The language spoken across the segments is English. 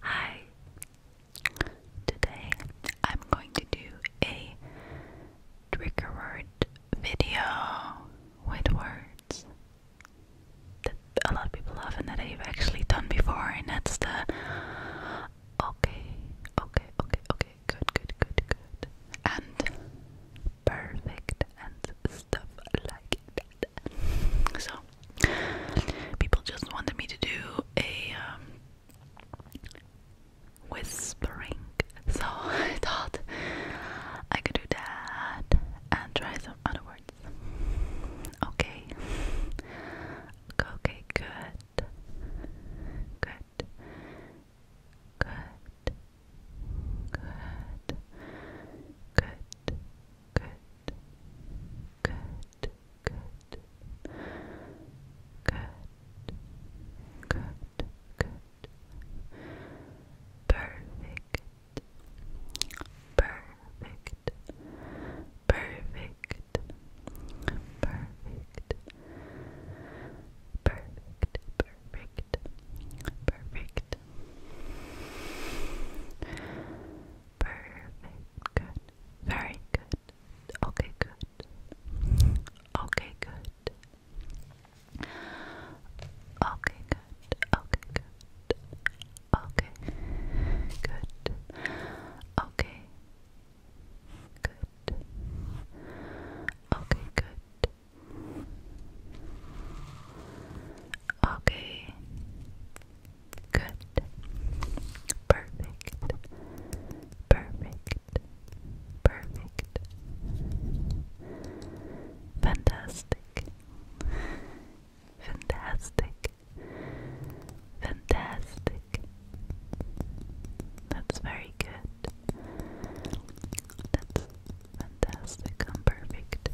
Hi! Today I'm going to do a trigger word video with words that a lot of people love and that I've actually done before, and that's the okay, okay, okay, okay, good, good, good, good, and perfect and stuff like that. So people just wanted me to do a um, whispering, so I thought I could do that and try some other words. Okay. Okay. Good. Good. Good. Good. Good. Good. Good. Good. Good. Good. Good. Perfect. Perfect. Perfect. Perfect. Perfect. Perfect. Perfect. Perfect. Good. Very good. Okay, good. Okay, good. Okay, good. Okay, good. Okay. Good. Okay. Good. Okay, good. Okay. Good. Perfect. Perfect. Perfect. Fantastic. Fantastic. Fantastic. That's very good. That's fantastic perfect.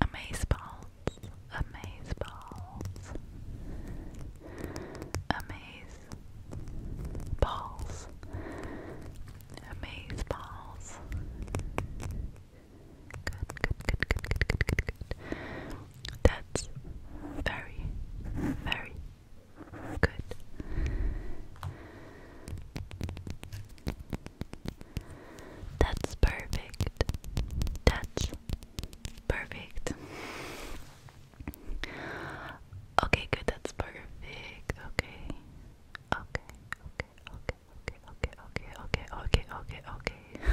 Amaze balls, amaze balls, amaze balls, amaze balls. good, good, good, good, good, good, good. That's very, very good. That's perfect. That's perfect. Okay, good. That's perfect. Okay. Okay. Okay. Okay. Okay. Okay. Okay. Okay. Okay. Okay.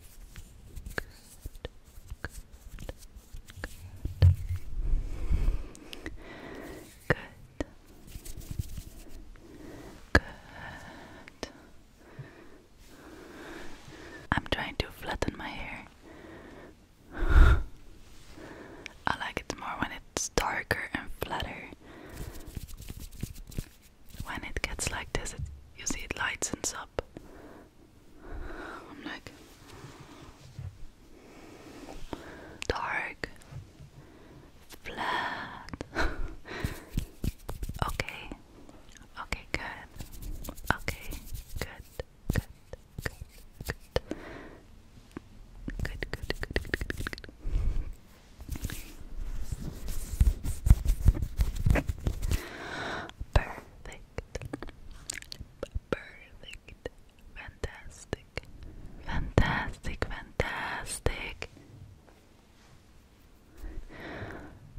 Good. Good. I'm trying to flatten my hair. I like it more when it's darker and flatter when it gets like this, it, you see it lightens up. I'm like dark, flat. okay, okay, good. Okay, good, good, good, good, good, good, good, good, good, good. Perfect. Perfect. Fantastic. Fantastic. Fantastic.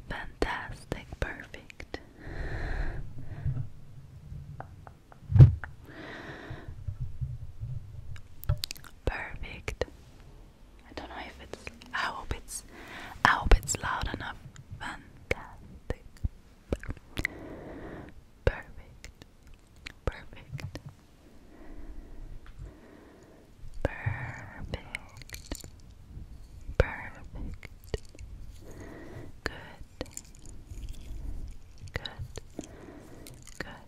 Fantastic. Perfect. Perfect. I don't know if it's. I hope it's. I hope it's loud enough. Fantastic. Perfect. Perfect. Perfect. Perfect. Good. Good. Good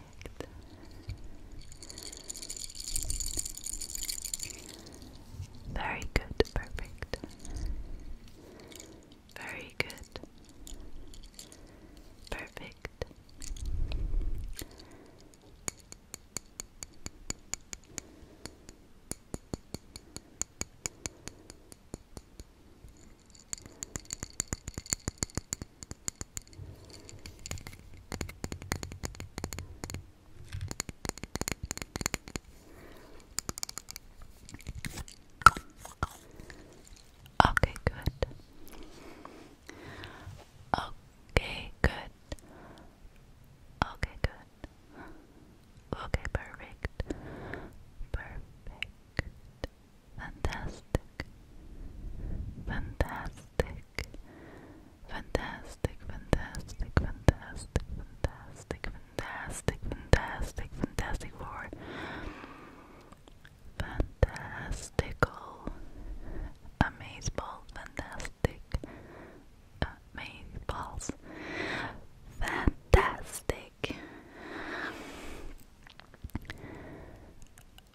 perfect. Very good, perfect. Very good. Perfect. Okay, good. Okay, good. Okay, good. Okay, perfect. Perfect fantastic, fantastic, fantastic, fantastic, fantastic, fantastic, fantastic, fantastic, fantastic for fantastical, amazeball, fantastic, amazeballs, fantastic.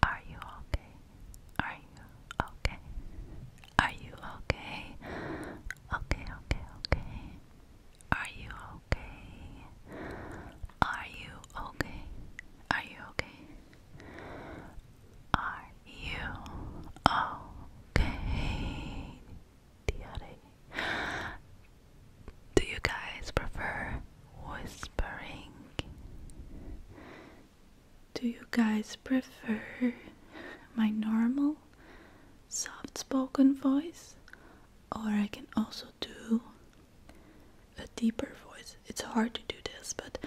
Are you okay? Are you okay? Are you okay? Okay, okay, okay. Are you okay? Are you okay? Are you okay? Are you okay? Do you guys prefer whispering. Do you guys prefer my normal soft spoken voice? Or I can also do a deeper voice. It's hard to do this, but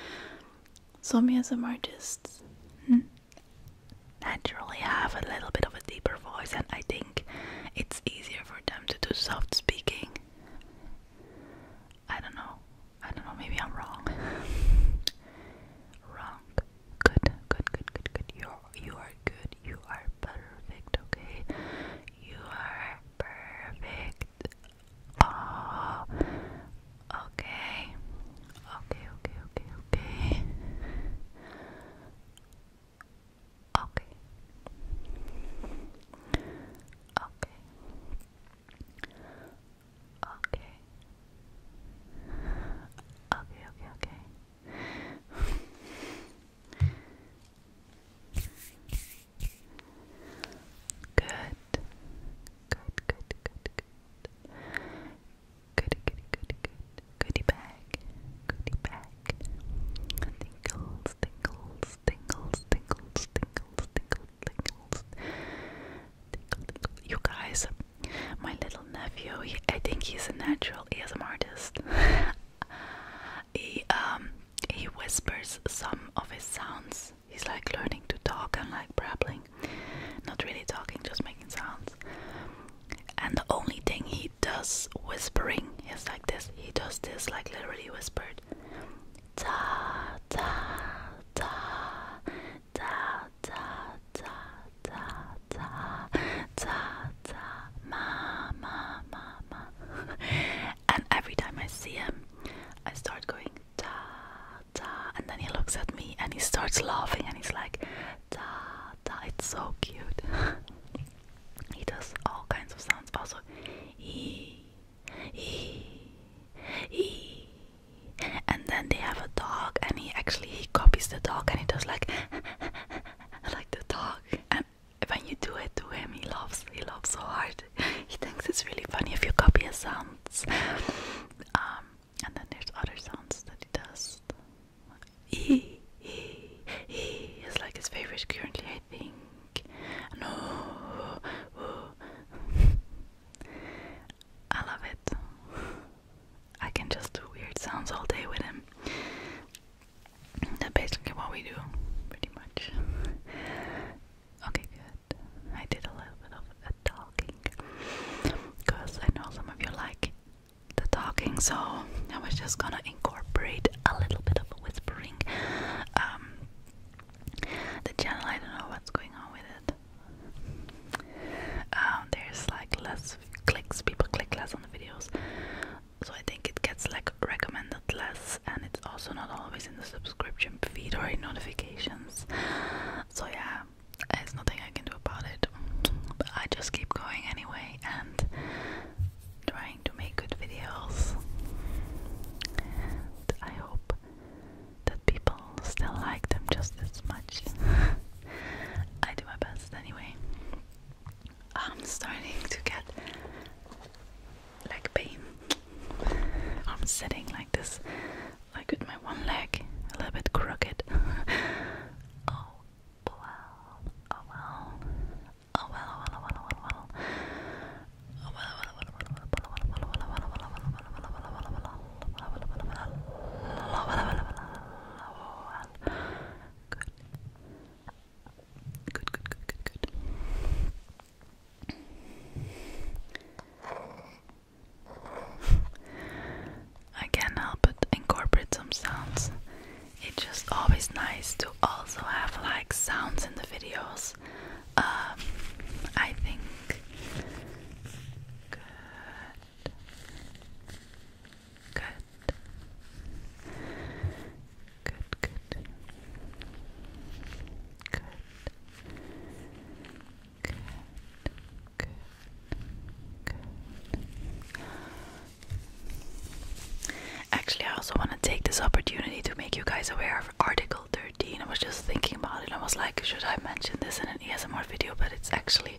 some artists hmm, naturally have a little bit of a deeper voice, and I think it's easier for them to do soft speaking I don't know. I don't know. Maybe I'm wrong. wrong. Good. Good. Good. Good. Good. You you are good. You are perfect. Okay. You are perfect. Oh. Okay. Okay. Okay. Okay. Okay. Okay. Okay. Okay. Okay, okay, okay. Good. Good, good, good, good. Goody, goody, goody, good. Goody bag. Goody bag. You guys, my little nephew, I think he's a natural an artist. he, um, he whispers some of his sounds. He's like learning to talk and like babbling. Not really talking, just making sounds. And the only thing he does whispering. he's like this. He does this like literally whispered. Da da da da da da da da da da ma ma ma ma. and every time I see him, I start going da da, and then he looks at me and he starts laughing and he's like da da. It's so cute. He does all kinds of sounds. Also, he, he, he. And then they have a dog, and he actually he copies the dog, and he does like, like the dog. And when you do it to him, he loves. He loves so hard. He thinks it's really funny if you copy his sounds. Um, and then there's other sounds that he does. He, he, he is like his favorite currently, I think. No, I love it. I can just do weird sounds all day with him. That's basically what we do, pretty much. Okay, good. I did a little bit of talking because I know some of you like the talking, so I was just gonna incorporate a little bit of whispering. Um, the channel, I don't know what's going on with it. Um, there's like less clicks, people click less on the videos, so I think it gets like recommended less, and it's also not always in the subscription feed or in notifications. So, yeah, there's nothing I can do about it. I just keep going anyway and trying to make good videos. I hope that people still like them just as much. I do my best anyway. I'm starting to get leg pain. I'm sitting like this, like with my one leg a little bit crooked. oh, well, oh well, oh well, oh well, oh well, oh well, oh well, oh well, oh well, Good, good, good, good, good. I can't help but incorporate some sounds. It's just always nice to also have like sounds in the videos. I think. Good. Good, good. Good. Good. Good. Actually, I also want to take this opportunity to make you guys aware of Article 13. I was just thinking about it. I was like, should I mention this in an ESMR video? But it's actually,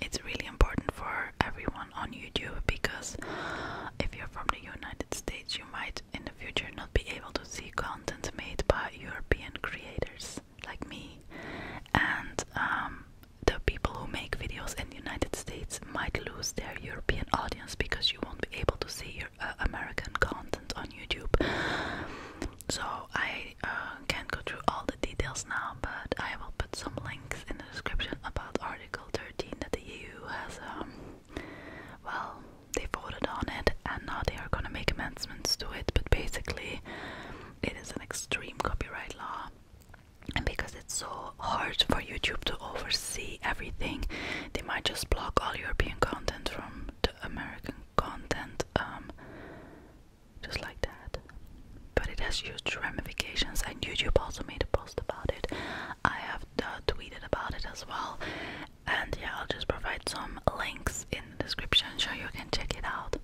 it's really important for everyone on YouTube because if you're from the United States, you might in the future not be able to see content made by European creators like me, and um, the people who make videos in the United States might lose their European audience because you won't be able to see your uh, American content on YouTube. So I uh, can't go through all the details now, but I will put some links in the description about Article 13 that the EU has. Um, well, they voted on it, and now they are gonna make amendments to it. But basically, it is an extreme copyright law. And because it's so hard for YouTube to oversee everything, they might just block all European content from the American content, um, just like that. But it has huge ramifications, and YouTube also made a post about it. I have uh, tweeted about it as well, and yeah, I'll just provide some links in the description so you can check it out.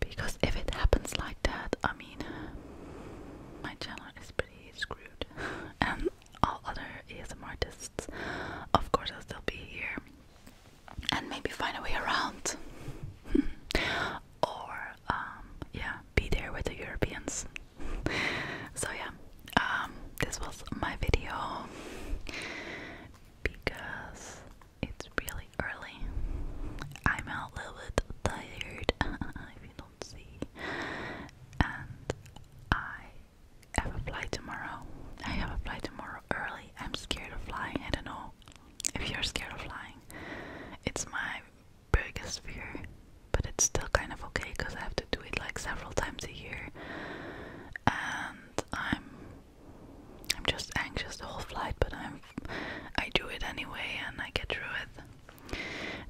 Because if it happens like that, I mean, my channel is pretty screwed. and all other ASM artists, of course, I'll still be here and maybe find a way around. or, um, yeah, be there with the Europeans. so, yeah, um, this was my video because it's really early. I'm a little bit tired, if you don't see. And I have a flight tomorrow. I have a flight tomorrow early. I'm scared of flying. I don't know if you're scared of flying. It's my biggest fear, but it's still kind of okay because I have to do it like several times a year. And I'm I'm just anxious the whole flight, but I'm I do it anyway and I get through it.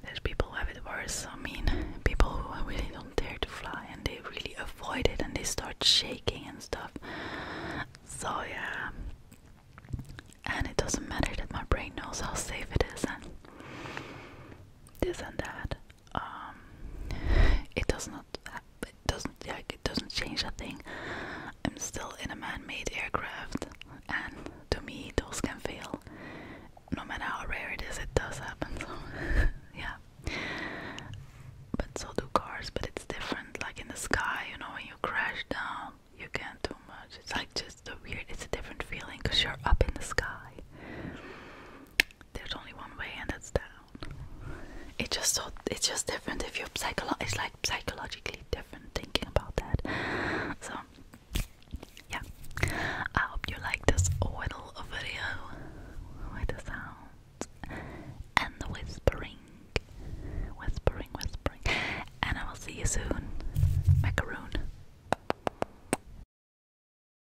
There's people who have it worse. I mean, people who really don't dare to fly and they really avoid it and they start shaking and stuff. So yeah, and it doesn't matter that my brain knows how safe it is and this and that. Um, it does not it doesn't like it doesn't change a thing. I'm still in a man-made aircraft, and to me, those can fail. No matter how rare it is, it does happen. So, yeah. But so do cars, but it's different. Like in the sky, you know, when you crash down, you can't do much. It's like just a weird. It's a different feeling because you're up in the sky there's only one way and that's down it's just so it's just different if you're psycholo it's like psychologically different thinking about that so yeah i hope you like this little video with the sounds and the whispering whispering whispering and i will see you soon macaroon